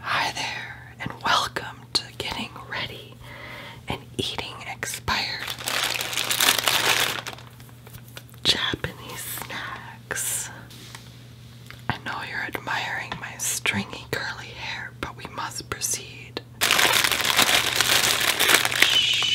Hi there, and welcome to Getting Ready and Eating Expired Japanese Snacks. I know you're admiring my stringy curly hair, but we must proceed. Shh.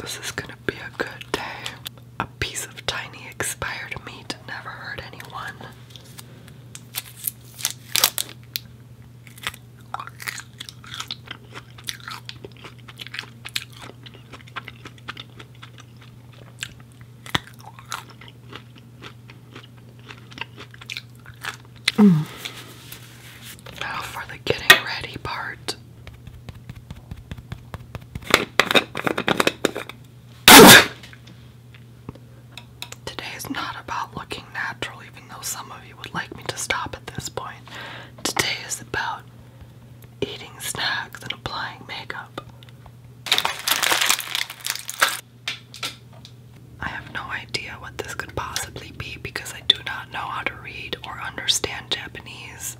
This is gonna be a good day. A piece of tiny expired meat never hurt anyone. Mm. Oh, now for the getting ready part. Today's not about looking natural, even though some of you would like me to stop at this point. Today is about eating snacks, and applying makeup. I have no idea what this could possibly be because I do not know how to read or understand Japanese,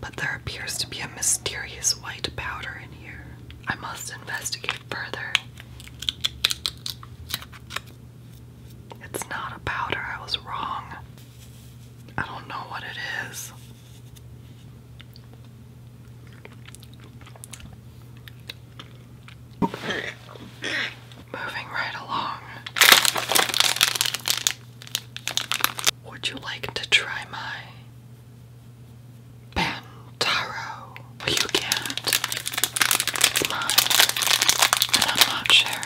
but there appears to be a mysterious white powder in here. I must investigate further. It's not a powder, I was wrong. I don't know what it is. Moving right along. Would you like to try my Pantaro? Well, you can't. It's mine. And I'm not sharing.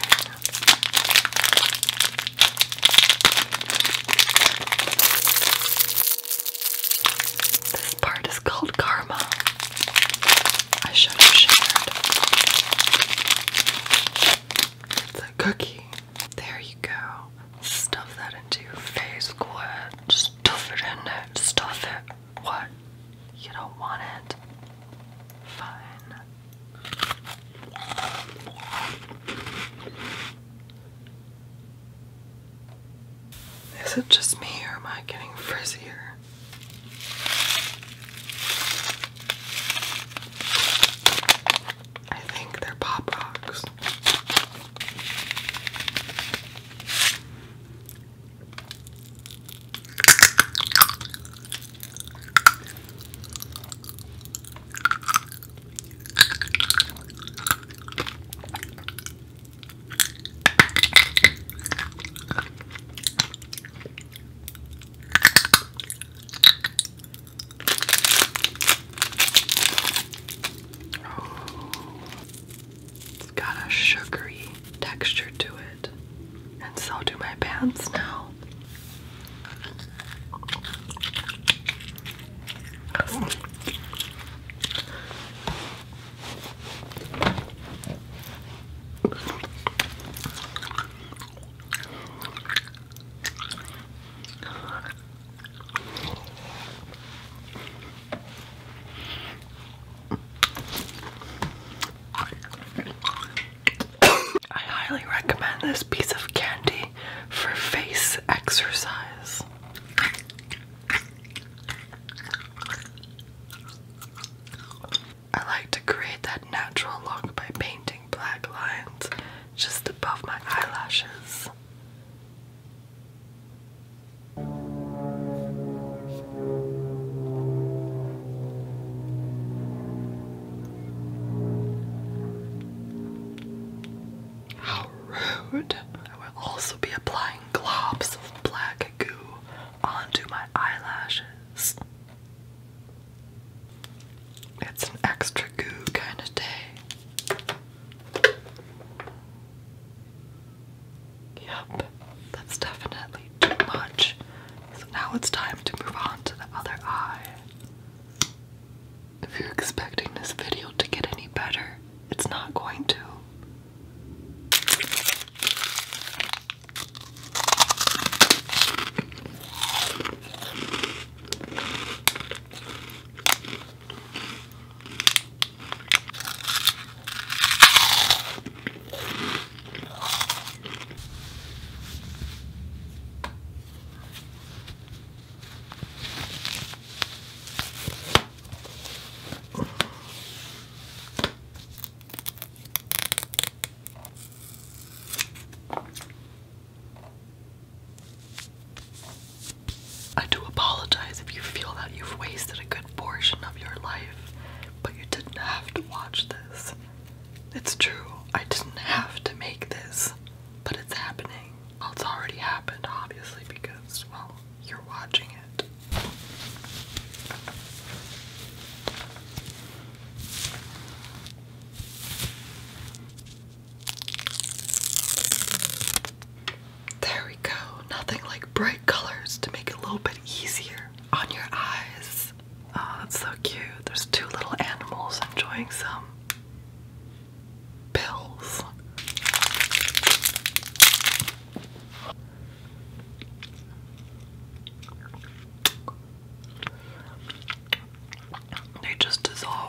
This part is called Karma. I should have shared. It's a cookie. There you go. Stuff that into your face, Gwen. Stuff it in there. Stuff it. What? You don't want it? Fine. Is it just me or am I getting frizzier? I think they're pop rocks. It's got a sugary texture to it, and so do my pants now. I highly recommend this piece of candy for face exercise. I like to create that natural look by painting black lines just above my eyelashes. How rude. I will also be applying globs of black goo onto my eyelashes. It's an extra goo kind of day. Yep, that's definitely too much. So now it's time to move on to the other eye. If you're expecting this video to get any better, it's not going to. I do apologize if you feel that you've wasted a good portion of your life, but you didn't have to watch this. It's true, I didn't have to make this, but it's happening. Well, it's already happened, obviously, because, well, you're watching it. There we go. Nothing like bright colors to make it a little bit easier on your eyes. Oh, that's so cute. There's two little animals enjoying some pills. They just dissolve.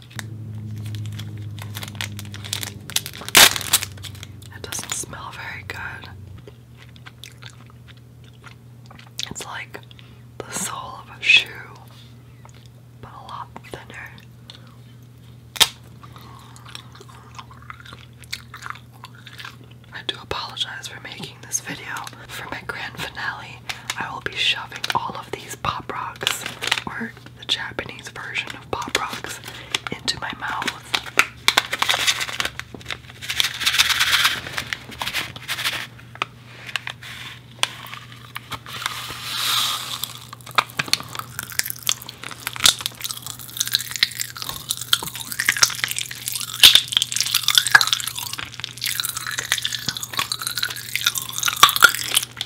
it. doesn't smell very good. It's like the sole of a shoe, but a lot thinner. I do apologize for making this video. For my grand finale, I will be shoving all of these pop rocks the Japanese version of Pop Rocks into my mouth.